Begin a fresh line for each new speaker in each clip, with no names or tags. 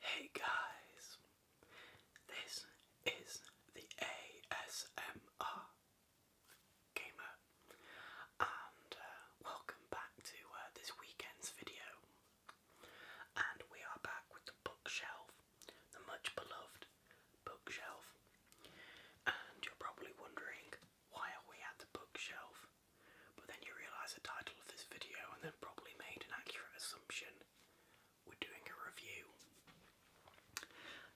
Hey guys, this is the ASMR Gamer, and uh, welcome back to uh, this weekend's video. And we are back with the bookshelf the much beloved bookshelf. And you're probably wondering, why are we at the bookshelf? But then you realise the title of this video and then probably made an accurate assumption. We're doing a review.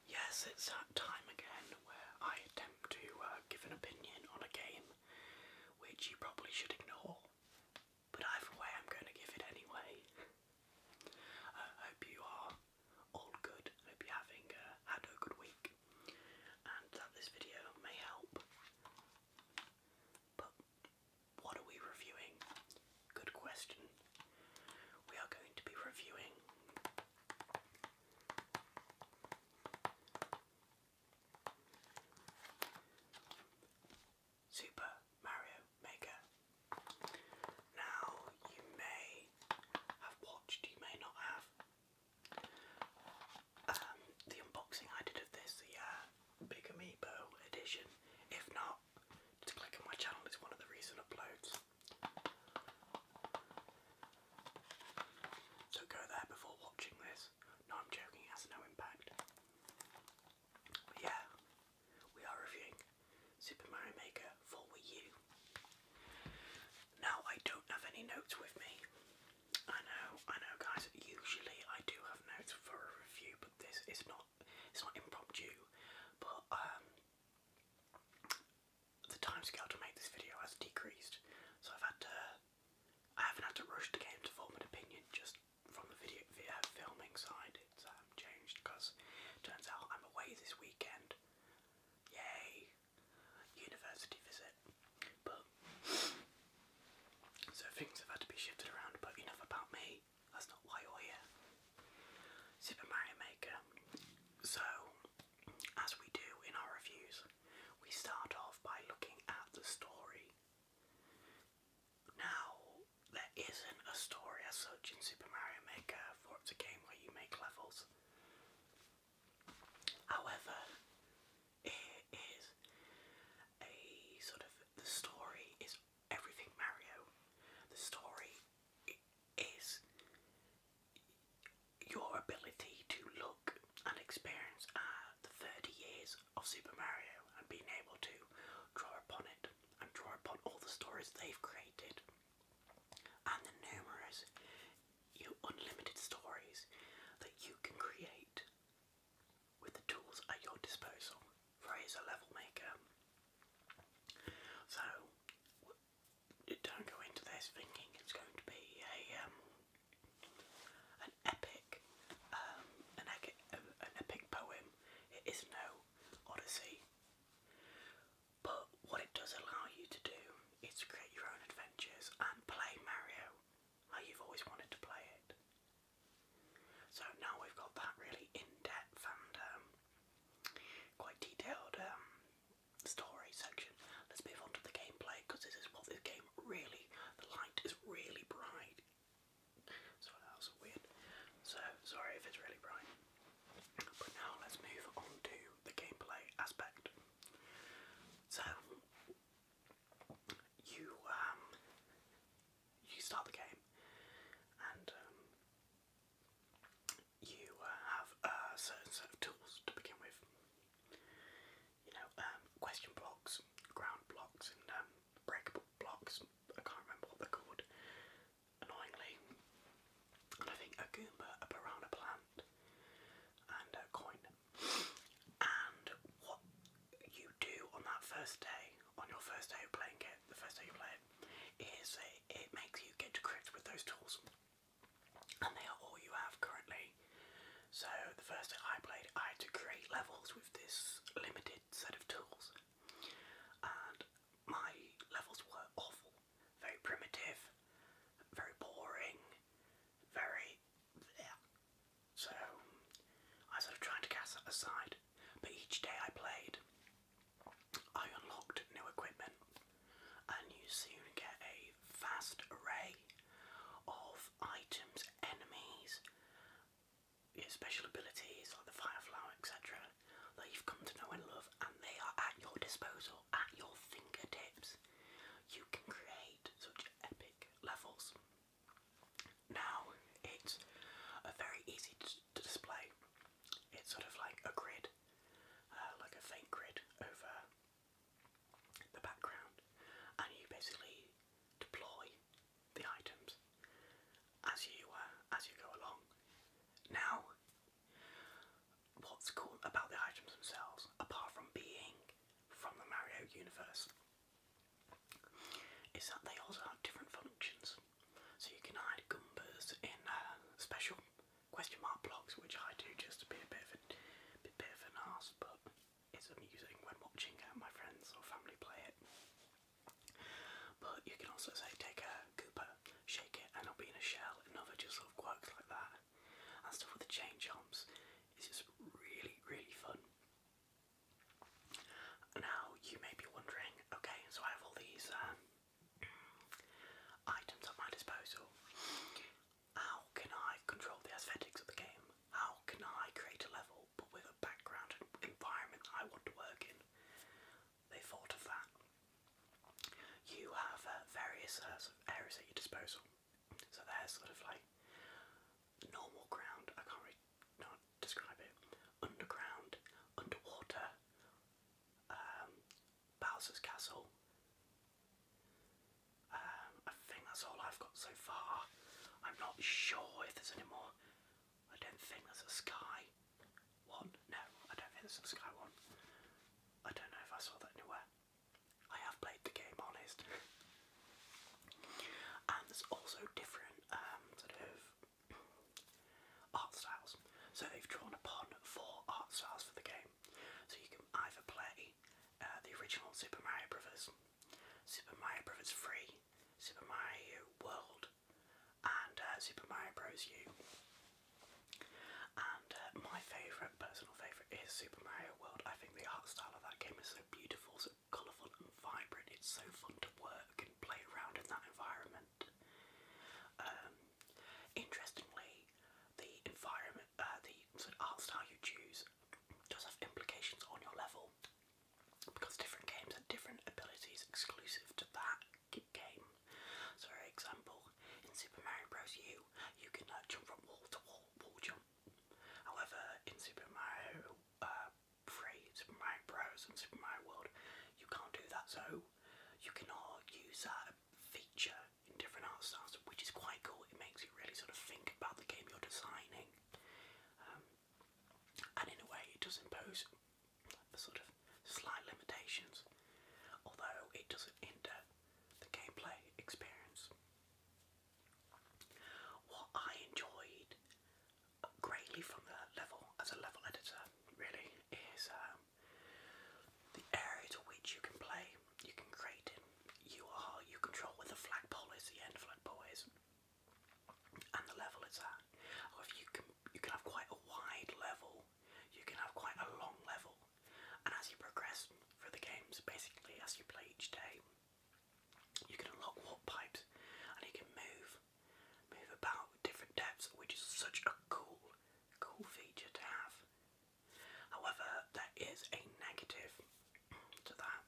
Yes, it's that time again where I attempt to uh, give an opinion on a game which you probably should ignore. But either way, I'm going to give it anyway. Uh, I hope you are all good. hope you're having uh, had a good week, and that this video may help. But what are we reviewing? Good question. We are going to be reviewing Super Mario Maker. Now, you may have watched, you may not have, um, the unboxing I did of this, the uh, Big Amiibo edition. If not, just click on my channel, it's one of the recent uploads. So go there before watching this. No, I'm joking, has no impact yeah, we are reviewing Super Mario Maker for Wii U. Now I don't have any notes with me. I know, I know guys, usually I do have notes for a review, but this is not it's not impromptu. But um, the time to make this video has decreased. So I've had to I haven't had to rush the game to form an opinion, just from the video uh, filming side, it's um, changed because turns out I'm away this weekend. Yay! University visit. But so things have had to be shifted around. But enough about me. That's not why you're here. Super Mario Maker. So, as we do in our reviews, we start off by looking at the story. Now, there isn't a story as such in Super Mario Maker, for it's a game where you make levels. However, it is a sort of the story is everything Mario. The story is your ability to look and experience uh, the 30 years of Super Mario and being able to draw upon it and draw upon all the stories they've created and the numerous you unlimited stories that you can create with the tools at your disposal. Phrase level maker. So don't go into this thinking it's going to be a um, an epic an, epic um, um, poem. It is no Odyssey, but what it does allow you to do is create your own adventures and play Mario how you've always wanted to play it. So now we've got that really in-depth and um, quite detailed story section. Let's move on to the gameplay because this is what this game really, the light is really bright so that was weird. So sorry if it's really bright. But now let's move on to the gameplay aspect. So you um, you start the game and um, you uh, have a uh, certain set of tools to begin with. You know, um, question blocks, ground blocks, and breakable blocks. I can't remember what they're called. Annoyingly, and I think a Goomba, a piranha plant, and a coin. And what you do on that first day, on your first day of playing it, the first day you play it, is it, makes you get to grips with those tools, and they are all you have currently. So the first day I played, I had to create levels with this limited kit set of tools, and my levels were awful. Very primitive, very boring, very. So I sort of tried to cast that aside, but each day I played, I unlocked new equipment, and you soon get a vast array of items, enemies, your special abilities like the fire flower, etc., that you've come to know and love, and they are at your disposal, at your fingertips. You can create such epic levels. Now, it's very easy to display. It's sort of like a grid, uh, like a faint grid over the background, and you basically deploy the items as you uh, as you go along. Now, what's cool about the items themselves, apart from being from the Mario universe, is that they also have different functions. So you can hide Goombas in uh, special question mark blocks, which I do just to be a bit of a, bit of an arse, but it's amusing when watching my friends or family play it. But you can also say take a Koopa, shake it, and it'll be in a shell. Another just sort of quirks like that. And stuff with the chain chomps is just really, really fun. Now you may be wondering, okay, so I have all these um, items at my disposal. How can I control the aesthetics of the game? How can I create a level but with a background and environment I want to work in? They thought of that. You have uh, various uh, areas at your disposal. So there's sort of like normal ground, I can't really describe it, underground, underwater, um, Bowser's Castle, um, I think that's all I've got so far. I'm not sure if there's any more. I don't think there's a sky one. No, I don't think there's a sky one. I don't know if I saw that anywhere. I have played the game, honest. and there's also different um, sort of art styles. So they've drawn upon four art styles for the game. So you can either play uh, the original Super Mario Brothers, Super Mario Bros. Free, Super Mario World, and uh, Super Mario Bros. U. And uh, my favourite, personal favourite, is Super Mario World. I think the art style of that game is so beautiful, so colourful and vibrant. It's so fun to work and play around in that environment. Um, interestingly, the environment uh, the sort of art style you choose does have implications on your level because different games have different abilities exclusive to that game. So, for example, in Super Mario Bros. U, you can uh, jump from wall to wall, wall jump. However, in Super Mario Free, uh, Super Mario Bros. and Super Mario World, you can't do that. So, you cannot use that feature in different art styles, which is quite cool. It makes you really sort of think about the game you're designing, um, and in a way, it does impose sort of slight limitations, although it doesn't hinder the gameplay experience. What I enjoyed greatly from the level as a level editor, really, is um, the area to which you can play you can create it. You are you control where the flagpole is, the end flagpole is, and the level is at. Or if you can you can have quite a wide level, you can have quite a long level, and as you progress for the games, basically as you play each day, you can unlock warp pipes, and you can move move about different depths, which is such a cool cool feature to have. However, there is a negative to that,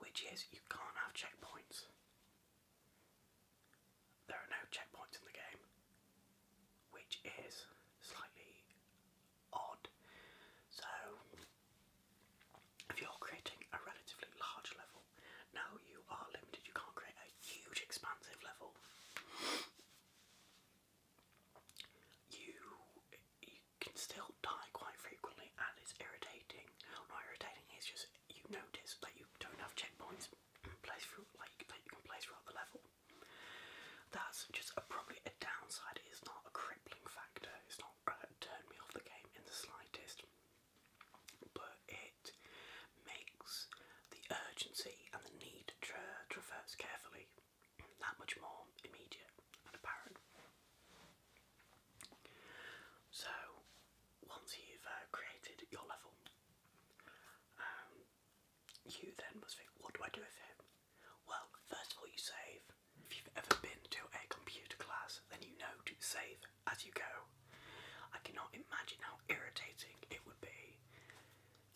which is you can't have checkpoints. There are no checkpoints in the game, which is slightly odd. So, if you're creating a relatively large level, now you are limited, you can't create a huge, expansive level you you can still die quite frequently and it's irritating. Not irritating, it's just you notice that you don't have checkpoints place for like that you can place throughout the level. That's just a, probably a downside. It's not a crippling factor. It's not uh, turned me off the game in the slightest. But it makes the urgency and the need to traverse carefully that much more immediate and apparent. So, once you've uh, created your level, um, you then must think, what do I do with it? Well, first of all, you save. If you've ever been to a computer class, then you know to save as you go. I cannot imagine how irritating it would be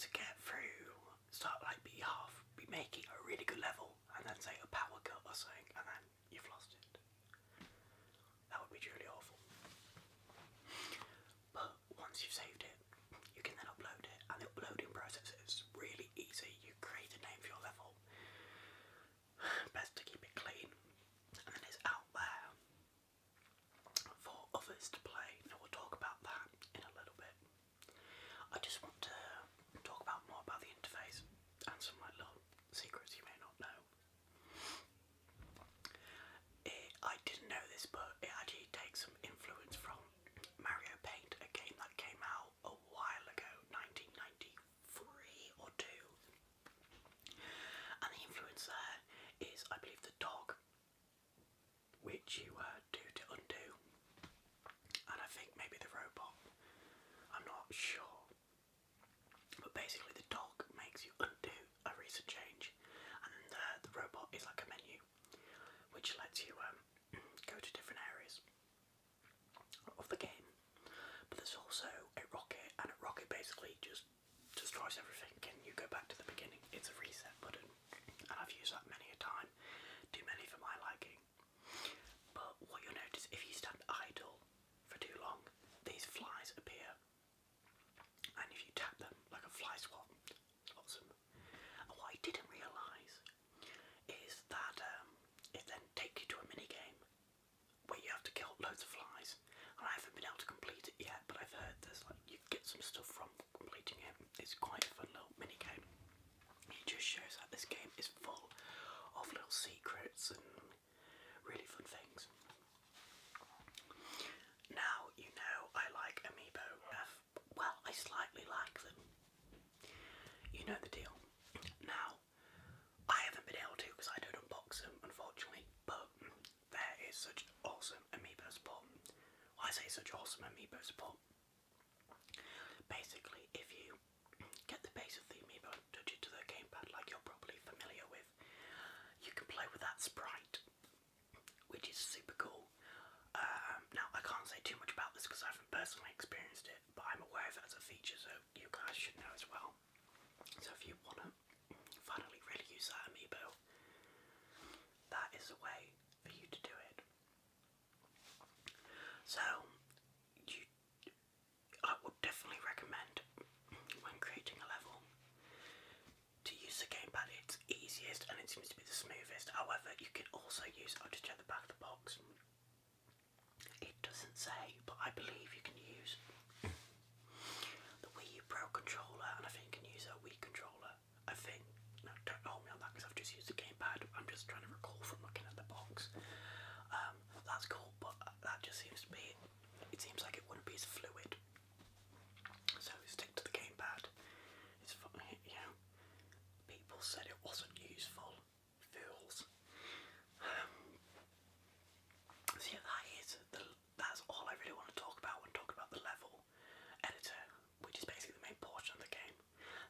to get through start like be half, be making a really good level, and then say a power cut or something, and then you've lost it. That would be truly awful. But once you've saved it, you can then upload it, and the uploading process is really easy. You create a name for your level. Best to keep it clean, and then it's out there for others to play. Now we'll talk about that in a little bit. I just want to talk about more about the interface and some little secrets you may not know. I didn't know this, but it actually takes some influence from Mario Paint, a game that came out a while ago, 1993 or two. And the influence there is, I believe, the dog which you uh, do to undo. And I think maybe the robot, I'm not sure. But basically, the dog makes you undo a recent change, and the, robot is like a menu which lets you um, go to different areas of the game. But there's also a rocket, and a rocket basically just destroys everything Can you go back to the beginning. It's a reset button, and I've used that many a time, too many for my liking. But what you'll notice if you stand idle for too long, these flies appear, and if you tap them like a fly swat, swats them. what I didn't realise is that um, it then takes you to a mini game where you have to kill loads of flies. And I haven't been able to complete it yet, but I've heard there's like you get some stuff from completing It's quite a fun little mini game. It just shows that this game is full of little secrets and really fun things. Now you know I like Amiibo. Well, I slightly like them. You know the deal. Now, I haven't been able to because I don't unbox them, unfortunately. But there is such awesome amiibo support. Well, I say such awesome amiibo support. Basically, if you get the base of the amiibo touch it to the gamepad like you're probably familiar with, you can play with that sprite, which is super cool. Um, now, I can't say too much about this because I haven't personally experienced it, but I'm aware of a feature, so you guys should know as well. So if you want to finally really use that amiibo. That is a way for you to do it. So, you, I would definitely recommend when creating a level to use the gamepad. It's easiest and it seems to be the smoothest. However, you can also use. i just check the back of the box. It doesn't say, but I believe you can use the Wii Pro controller, and I think you can use a Wii controller. I think. No, don't hold me on that because I've just used the gamepad. I'm just trying to recall from looking at the box. Um, that's cool, but that just seems to be. It seems like it wouldn't be as fluid. So stick to the gamepad. It's funny, you People said it wasn't useful. Fools. Um, yeah, that is the that's all I really want to talk about when talking about the level editor, which is basically the main portion of the game.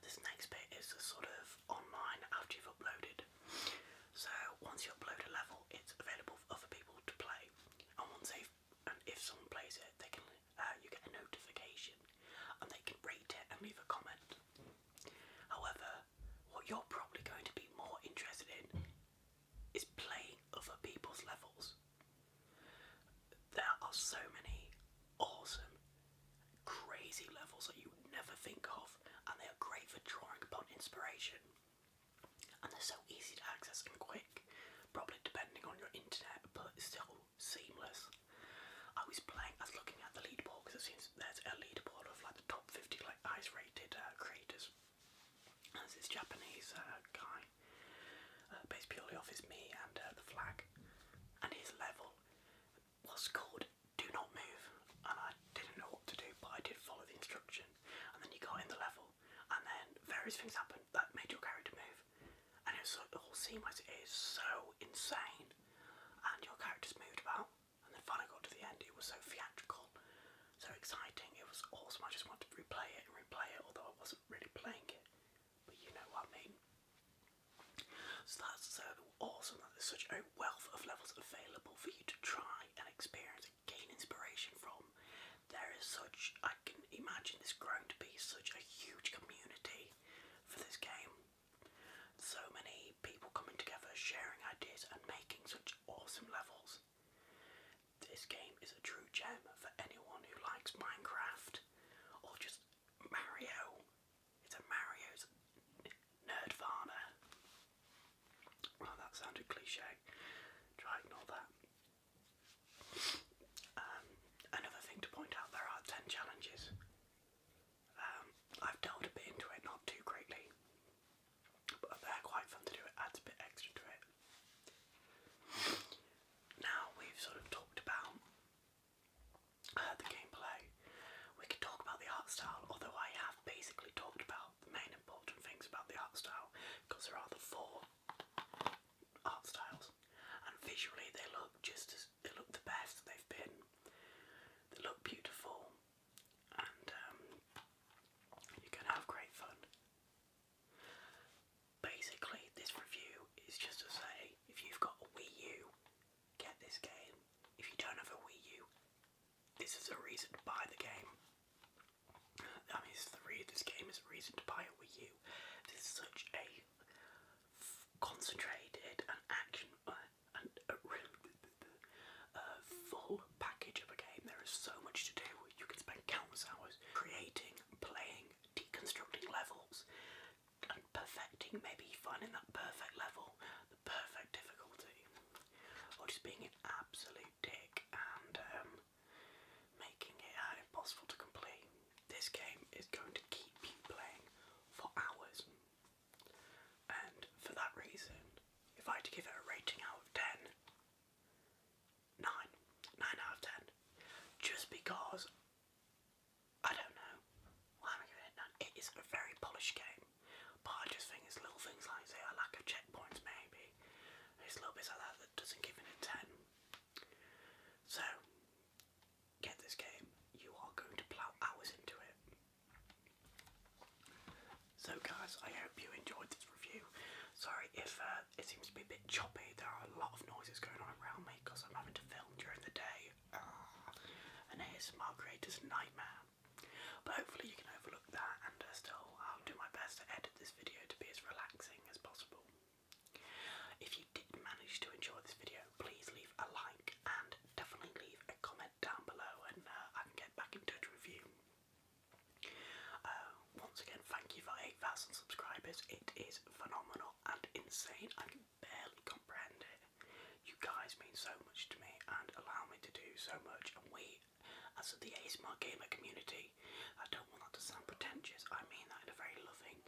This next bit is sort of online after you've uploaded. So once you upload a level, it's available for other people to play, and once they've and if someone plays it, they can uh, you get a notification, and they can rate it and leave a comment. However, what you're probably going to be more interested in is playing other people's levels. There are so many awesome, crazy levels that you would never think of, and they are great for drawing upon inspiration. And they're so easy to access and quick, probably depending on your internet, but still seamless. I was playing, I was looking at the leaderboard because it seems there's a leaderboard of like the top 50 like highest rated uh, creators there's this Japanese uh, guy, uh, based purely off his me and uh, the flag, and his level was called "Do not move," and I didn't know what to do, but I did follow the instruction. And then you got in the level, and then various things happened that made your character move, and it was so, the whole sequence is so insane, and your character's moved about. And then finally got to the end. It was so theatrical so exciting. It was awesome. I just wanted to replay it and replay it, although I wasn't really playing it. But you know what I mean. So that's so awesome that there's such a wealth of levels available for you to try and experience and gain inspiration from. There is such, I can imagine this growing to be such a huge community for this game. So many people coming together, sharing ideas and making such awesome levels. This game is a true gem for anyone who likes Minecraft or just Mario. It's a Mario's Nerdvana. Well, that sounded cliche. Try ignore that. Um, another thing to point out: there are ten challenges. Um, I've delved a bit into it, not too greatly but they're quite fun to do. It adds a bit extra to it. Now we've sort of talked about uh, the gameplay. We could talk about the art style, although I have basically talked about the main important things about the art style because there are the four art styles, and visually they look just as they look the best they've been. They look beautiful and um, you can have great fun. Basically, this review is just to say if you've got a Wii U, get this game. If you don't have a Wii U, this is a reason to buy the game. I mean, this, is this game is a reason to buy a Wii U. This is such a concentrated and action uh, and a uh, full package of a game. There is so much to do. You can spend countless hours creating, playing, deconstructing levels, and perfecting, maybe finding that perfect level, the perfect difficulty, or just being an absolute dick and um, making it impossible to complete. This game is going to keep you playing for hours. And for that reason, if I had to give it a rating out of 10, 9, out of 10. Just because, I don't know, why am giving it 9? It is a very polished game, but I just think it's little things like, a lack of checkpoints maybe, it's little bits like that that doesn't give it a 10. So, get this game, you are going to plough hours into it. So, guys, I hope you enjoyed this review. Sorry if uh, it seems to be a bit choppy. There are a lot of noises going on around me because I'm having to film during the day. And ah, an ASMR creator's nightmare. But hopefully, you can overlook that, and uh, still, I'll do my best to edit this video to be as relaxing as possible. If you did manage to enjoy this video, please leave a like and definitely leave a comment down below and uh, I can get back in touch with you. Uh, once again, thank you for 8,000 subscribers. It is phenomenal and insane. I can barely comprehend it. You guys mean so much to me and allow me to do so much. And we, as the ASMR gamer community, I don't want that to sound pretentious. I mean that in a very loving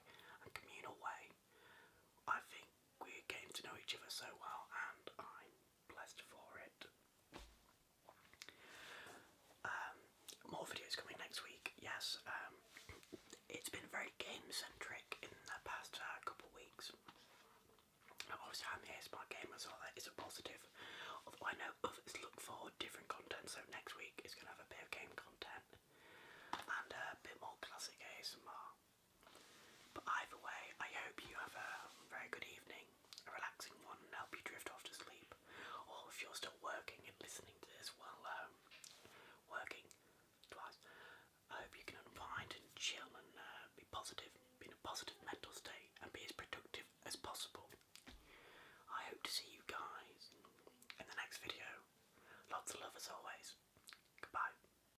and communal way. I think we came to know each other so well, and i blessed for it. Um, more videos coming next week, yes. Um, it's been very game centric in the past uh, couple of weeks. Obviously, I'm here, game as well. that is a positive. Although I know others look for different content, so next week is going to have a bit of game content and a bit more classic ASMR. But either way, I hope you have a very good evening, a relaxing one, help you drift off to sleep. Or if you're still working and listening to this while um, working I hope you can unwind and chill and uh, be positive, be in a positive mental state, and be as productive as possible. I hope to see you guys in the next video. Lots of love as always. Goodbye.